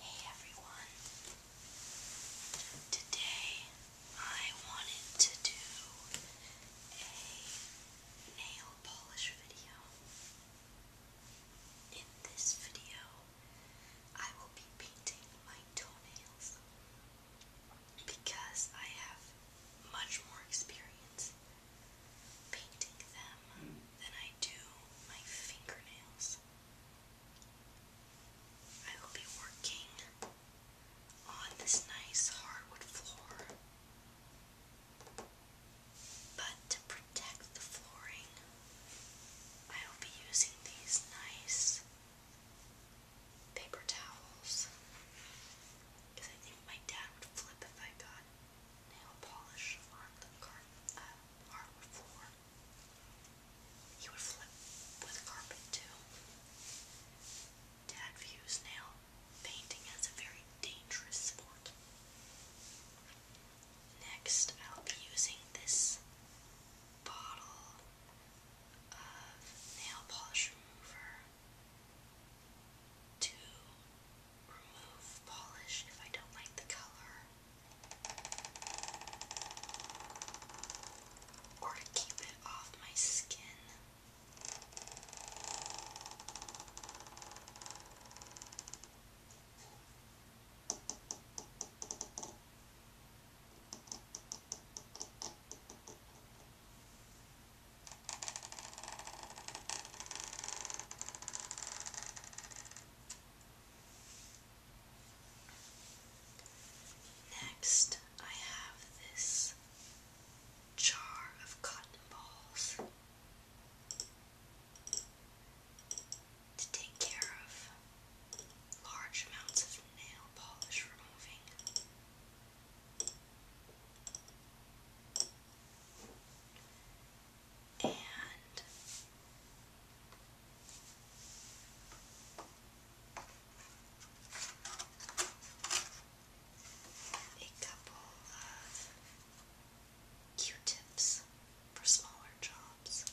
Hey everyone! Today I wanted to do a nail polish video. In this video, I will be painting my toenails because I have much more experience painting them than I do my fingernails. I will be working on this nice hardwood floor, but to protect the flooring, I will be using these nice paper towels because I think my dad would flip if I got nail polish on the carpet, He uh, would flip with carpet too. Dad views nail painting as a very dangerous sport. Next, I'll be using this bottle of nail polish remover to remove polish if I don't like the color, or to keep it off my skin. Next, I have this jar of cotton balls to take care of large amounts of nail polish removing and a couple of Q-tips for smaller jobs.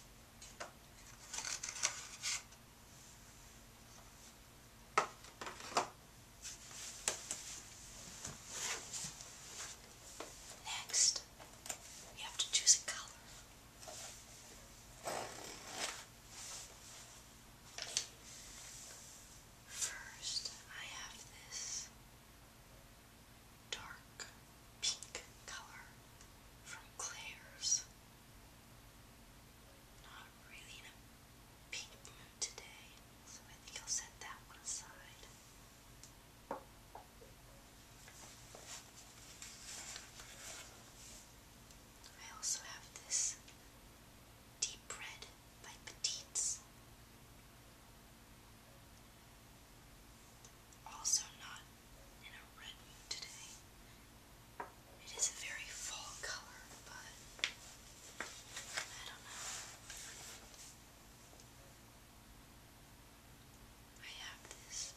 Next, you have to choose a color. First, I have this dark pink color from Claire's. Not really in a pink mood today, so I think I'll set that one aside. I also have this deep red by Petites. Also not in a red mood today. It is a very fall color, but I don't know. I have this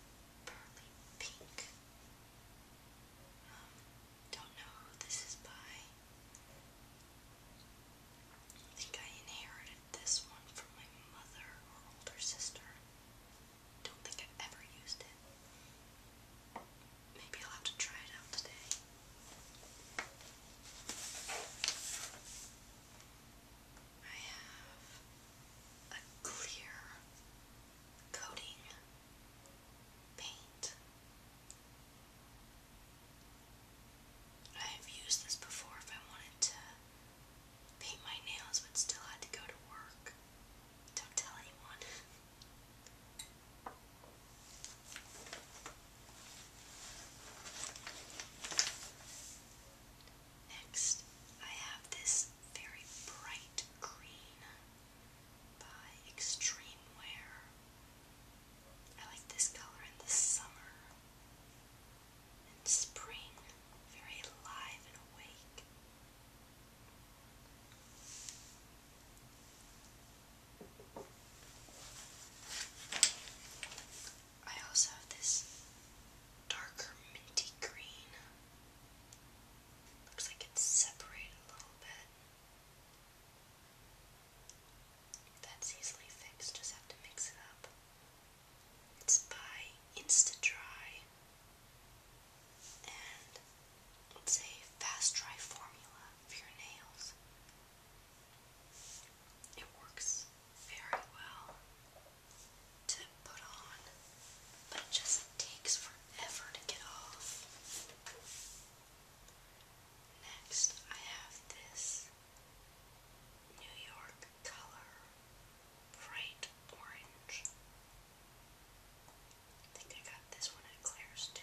pearly pink. Um, don't know who this is by. I think I inherited this one from my mother or older sister. Don't think I've ever used it. Maybe I'll have to try it out today. I have a clear coating paint. I have used this before if I wanted to paint my nails but still had to go to work. Don't tell anyone. Next, I have this very bright green by Extreme Wear. I like this color in the summer and spring, very alive and awake. I also have this darker minty green. Looks like it's separated a little bit. That's easily fixed, just have to mix it up. It's by Insta-Dry and it's a fast dry formula for your nails. It works very well to put on, but it just takes forever to get off. Next, I have this New York color, bright orange. I think I got this one at Claire's too.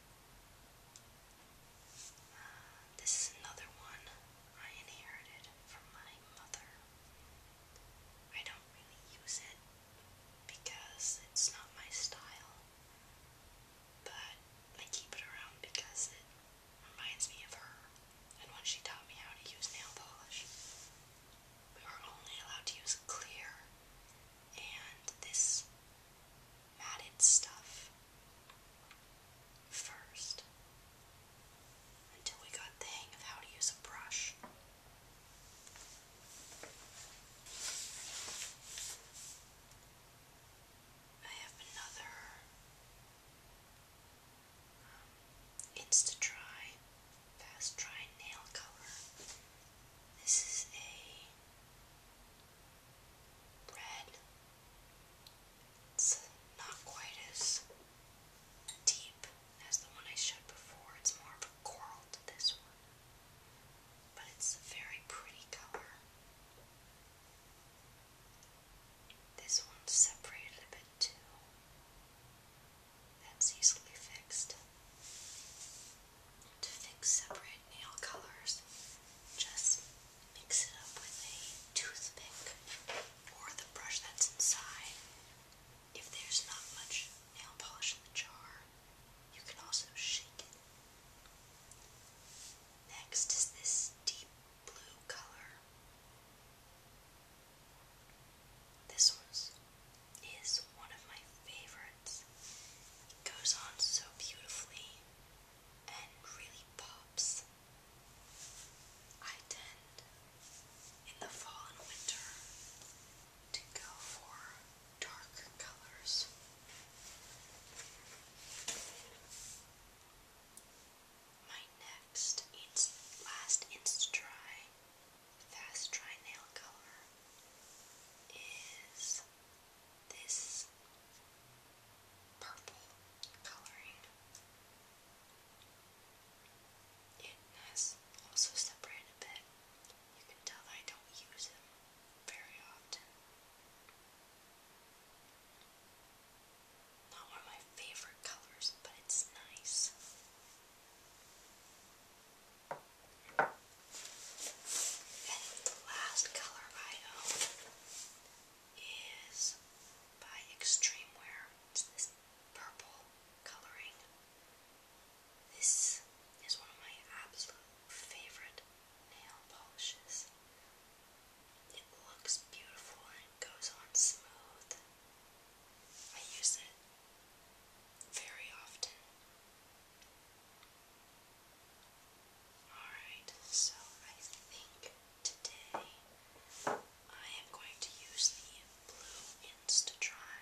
This is another one I inherited from my mother. I don't really use it because it's not my style, but I keep it around because it reminds me of her and when she taught me how to use nail polish. We were only allowed to use clear, and this matted stuff first until we got the hang of how to use a brush. I have another um, Insta Dry Fast Dry Nail Color. This is a red it's not quite as deep as the one I showed before. It's more of a coral to this one. But it's a very pretty color. This one's separated a bit too. That's easily fixed. To fix separate nail colors, just mix it up with a toothpick or the brush that's inside. If there's not much nail polish in the jar, you can also shake it. Next is this deep blue color. This one is one of my favorites. It goes on so beautifully and really pops. I tend in the fall and winter to go for darker colors. My next last insta dry fast dry nail color is this purple coloring. It has also separated a bit. You can tell I don't use them very often. Not one of my favorite colors, but it's nice. And the last color I own is by Extreme Wear. It's this purple coloring. This is one of my absolute favorite nail polishes. It looks beautiful and goes on smooth. I use it very often. Alright, so I think today I am going to use the Blue Insta-Dry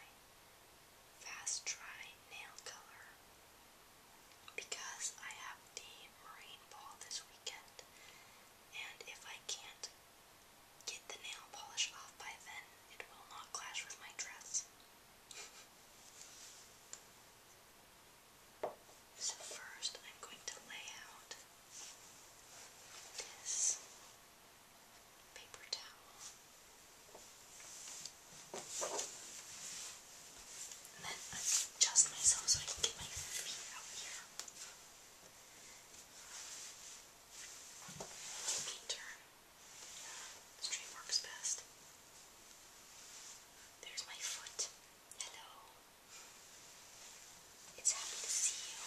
Fast Dry Nail Color because I have the Marine Ball this weekend and if I can't get the nail polish off by then, it will not clash with my dress. So first I'm going to lay out this paper towel. And then I adjust myself so I can get my feet out here. Feet turn. Straight works best. There's my foot. Hello. It's happy to see you.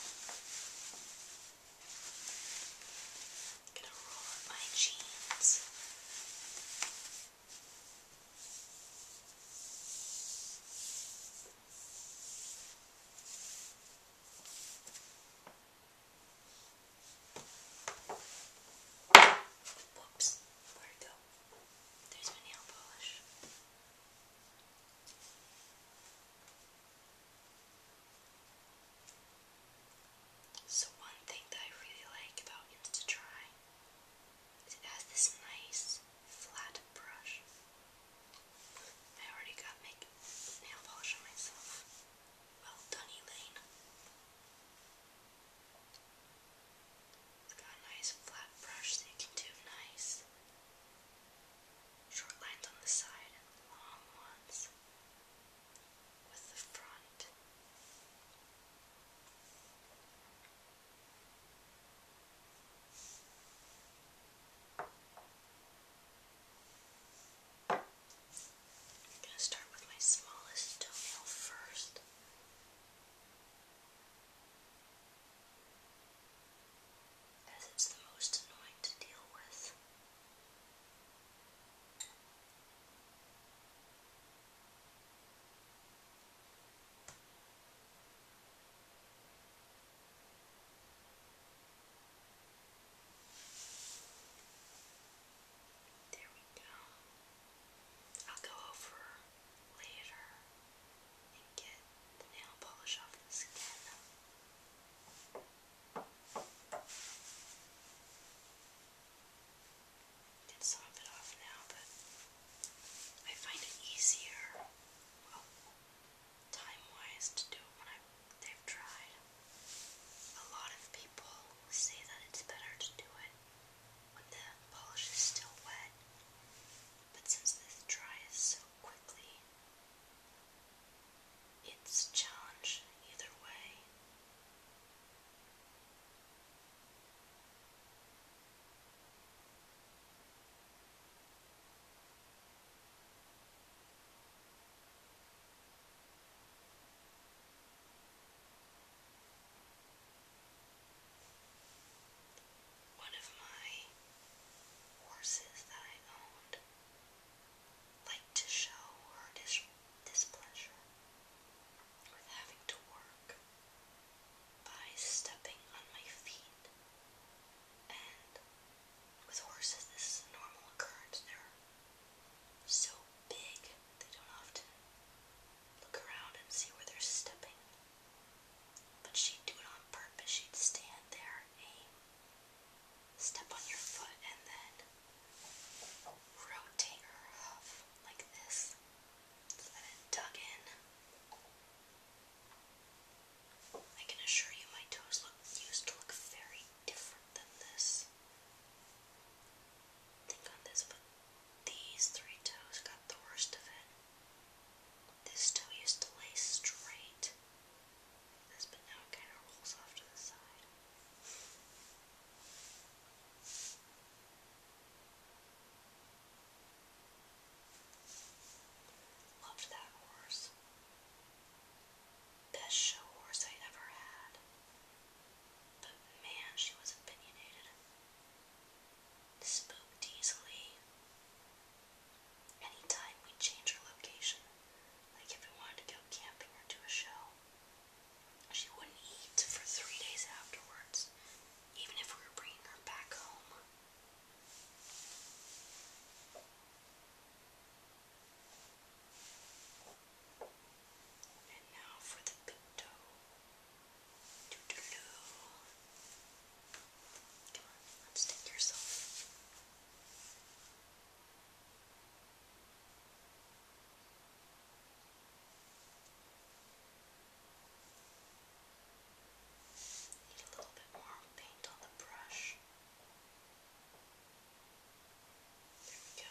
I'm going my jeans. Whoops, where'd it go? There's my nail polish. So one thing that I really like about InstaDry is it has this nice flat brush. I already got nail polish myself. Well done, Elaine. It's got a nice flat brush so you can do nice short lines on the side and long ones with the front. I'm going to start with my smallest toenail first as it's the most annoying to deal with. There we go. I'll go over later and get the nail polish off this again. Get some of it off now, but I find it easier, time-wise, to do it when they've tried. A lot of people say that it's better to do it when the polish is still wet, but since this dries so quickly, it's a challenge either way. One of my horses that I owned liked to show her displeasure with having to work by stepping on my feet. And with horses, this is a normal occurrence. They're so big, they don't often look around and see where they're stepping. But she'd do it on purpose. She'd stand there, aim, step on your foot, and then rotate her hoof like this so it dug in. I can assure you my toes used to look very different than this. Think on this, but these three toes got the worst of it. This toe used to lay straight but now it kind of rolls off to the side. Loved that horse. Best show horse I ever had. But man, she was opinionated, spooked easily. Anytime we'd change her location, like if we wanted to go camping or do a show, she wouldn't eat for three days afterwards, even if we were bringing her back home. And now for the big toe. Doo -doo -doo. Come on, unstick yourself. Need a little bit more paint on the brush. There we go.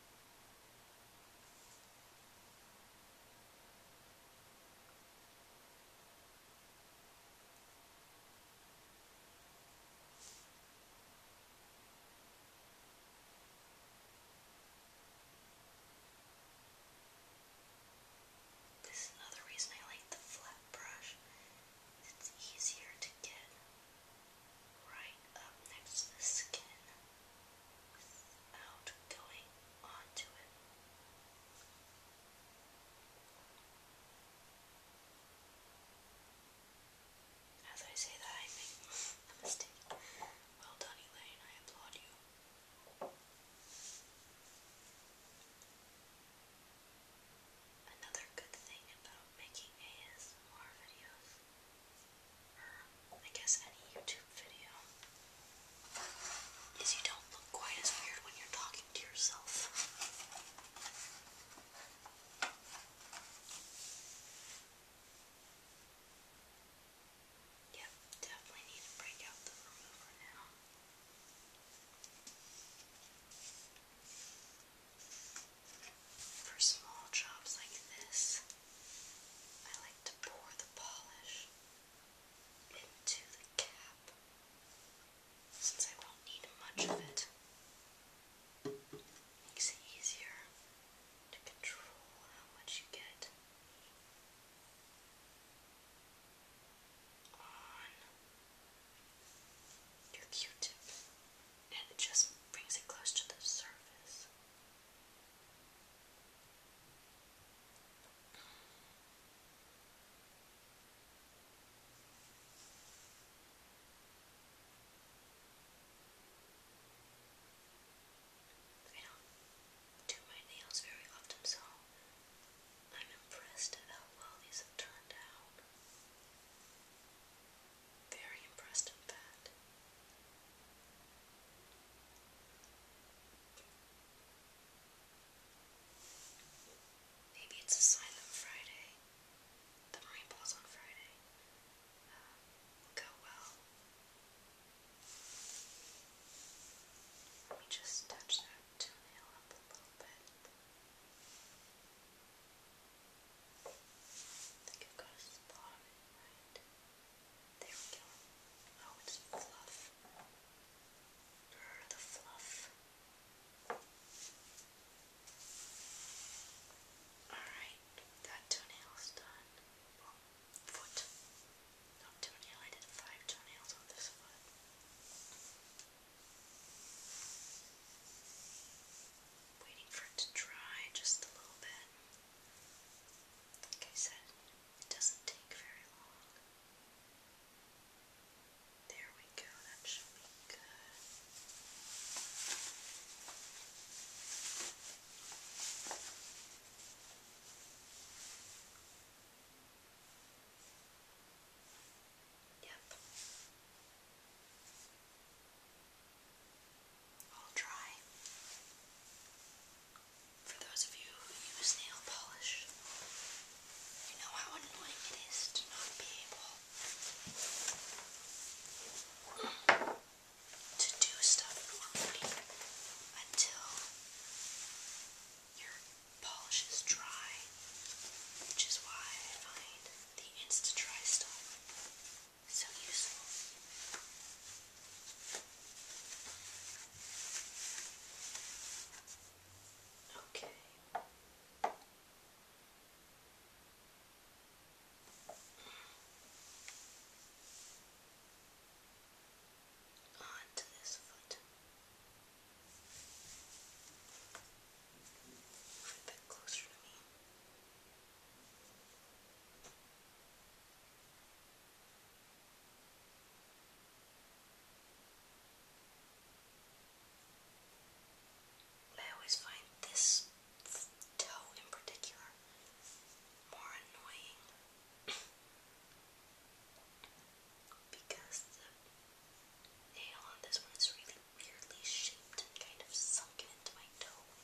This is another reason I like the flat brush. It's easier to get right up next to the skin without going onto it. As I say that, I make a mistake. Well done, Elaine. I applaud you. Another good thing about making ASMR videos I guess any YouTube video is you don't look quite as weird when you're talking to yourself. Yep, definitely need to break out the remover now. For small jobs like this, I like to pour the polish into the cap since I won't need much of it. Makes it easier to control how much you get on your Q-tip and it just brings it close to the surface. I don't do my nails very often, so I'm impressed at how well these have turned out very impressed with that. Maybe it's a Silent Friday. The Mind on Friday um, will go well. Let me just touch that toenail up a little bit think it goes to the bottom, fluff. the fluff. Alright, that toenail's done. foot. toenail, I did five toenails on this foot waiting for it to dry just a little bit. Like I said, it doesn't take very long. There we go, that should be good. Yep. I'll try. For those of you who use nail polish, you know how annoying it is to not be able to do stuff normally until your polish is dry, which is why I find the Insta stuff so useful. Okay. On to this foot. a bit closer to me. I always find this toe in particular more annoying because the nail on this one is really weirdly shaped and kind of sunken into my toe.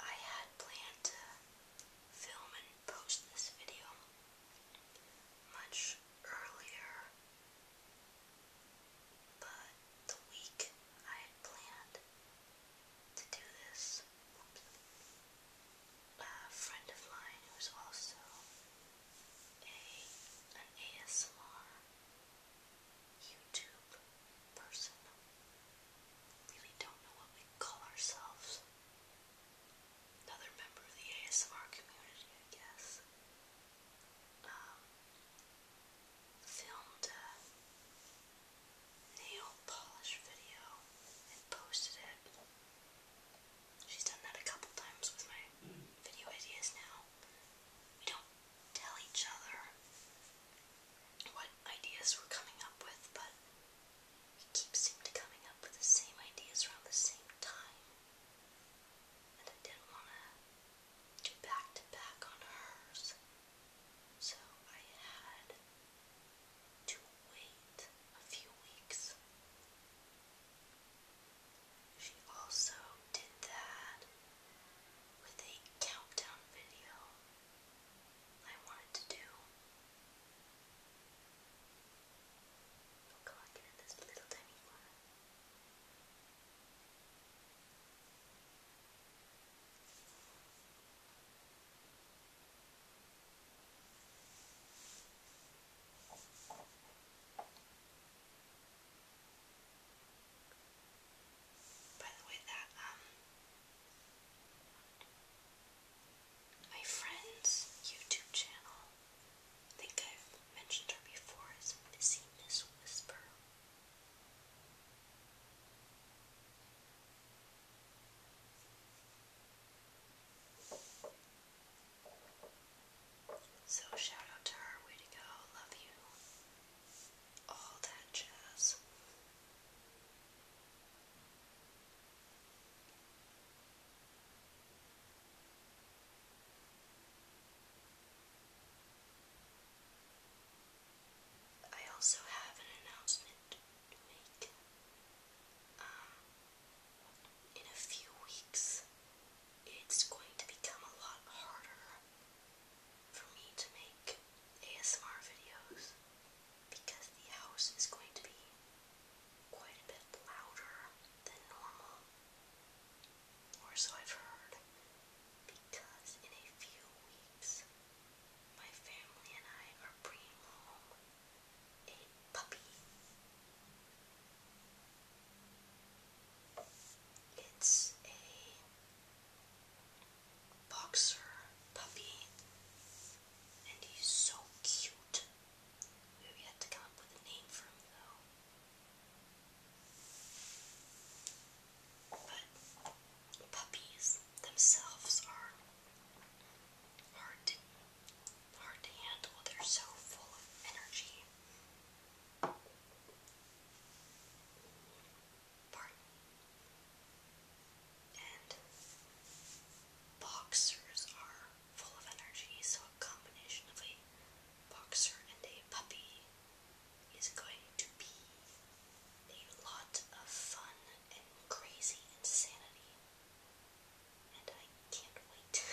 I had planned to film and post this video much earlier, but the week I had planned to do this, a friend of mine who's also a an ASMR YouTube person. Really don't know what we call ourselves. Another member of the ASMR community, I guess. Um, filmed a nail polish video and posted it She's done that a couple times with my video ideas now. We don't tell each other what ideas we're coming up with, but we keep seem to coming up with the same ideas around the same time. And I didn't want to do back to back on hers. So I had to wait a few weeks she also did that with a countdown video I wanted to do. Oh god, look at this little tiny one. By the way, that um my friend's YouTube channel, I think I've mentioned her before, is Missy Miss Whisper. So shout out to her, way to go, love you. All that jazz. I also have an announcement to make. Um, in a few weeks, it's going to become a lot harder for me to make ASMR videos because the house is going to be quite a bit louder than normal, or so I've heard, because in a few weeks, my family and I are bringing a puppy. It's a boxer puppy, and he's so cute. We have yet to come up with a name for him, though. But puppies themselves are hard hard to handle. They're so full of energy. And boxers are full of energy, so a combination of a boxer and a puppy is going to be a lot of fun and crazy insanity and I can't wait.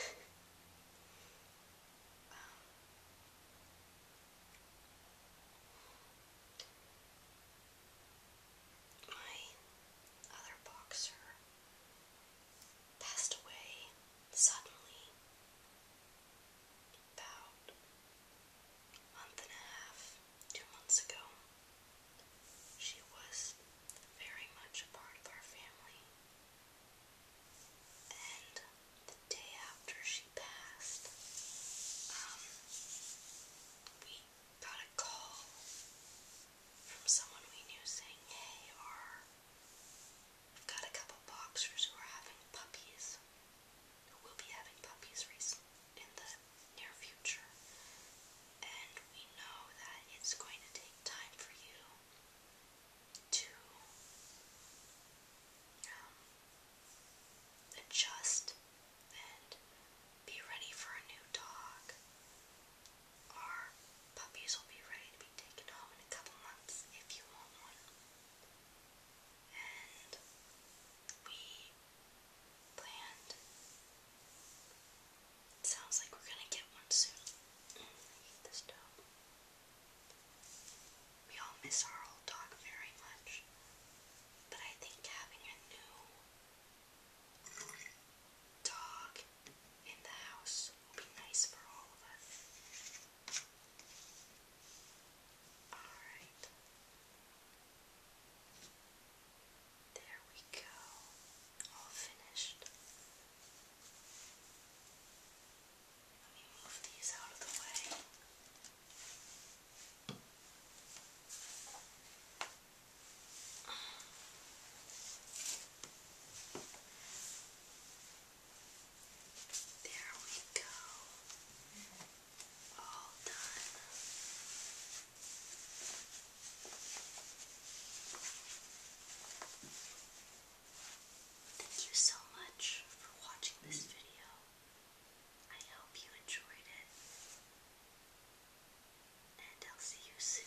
Um, my other boxer passed away suddenly about a month and a half, two months ago. She was very much a part of our family. And the day after she passed, um, we got a call from someone we knew saying, Hey, we've got a couple boxers who are having puppies, who will be having puppies in the near future and we know that it's going to take time for you to um, adjust and be ready for a new dog. Our puppies will be ready to be taken home in a couple months if you want one. And we planned Sounds like we're gonna get one soon. Mm, we all miss our old dog very much, but I think having a new dog in the house will be nice for all of us. Alright. There we go, all finished. Let me move these out of the way. There we go. All done. Thank you so much for watching this video. I hope you enjoyed it. And I'll see you soon.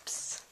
Oops.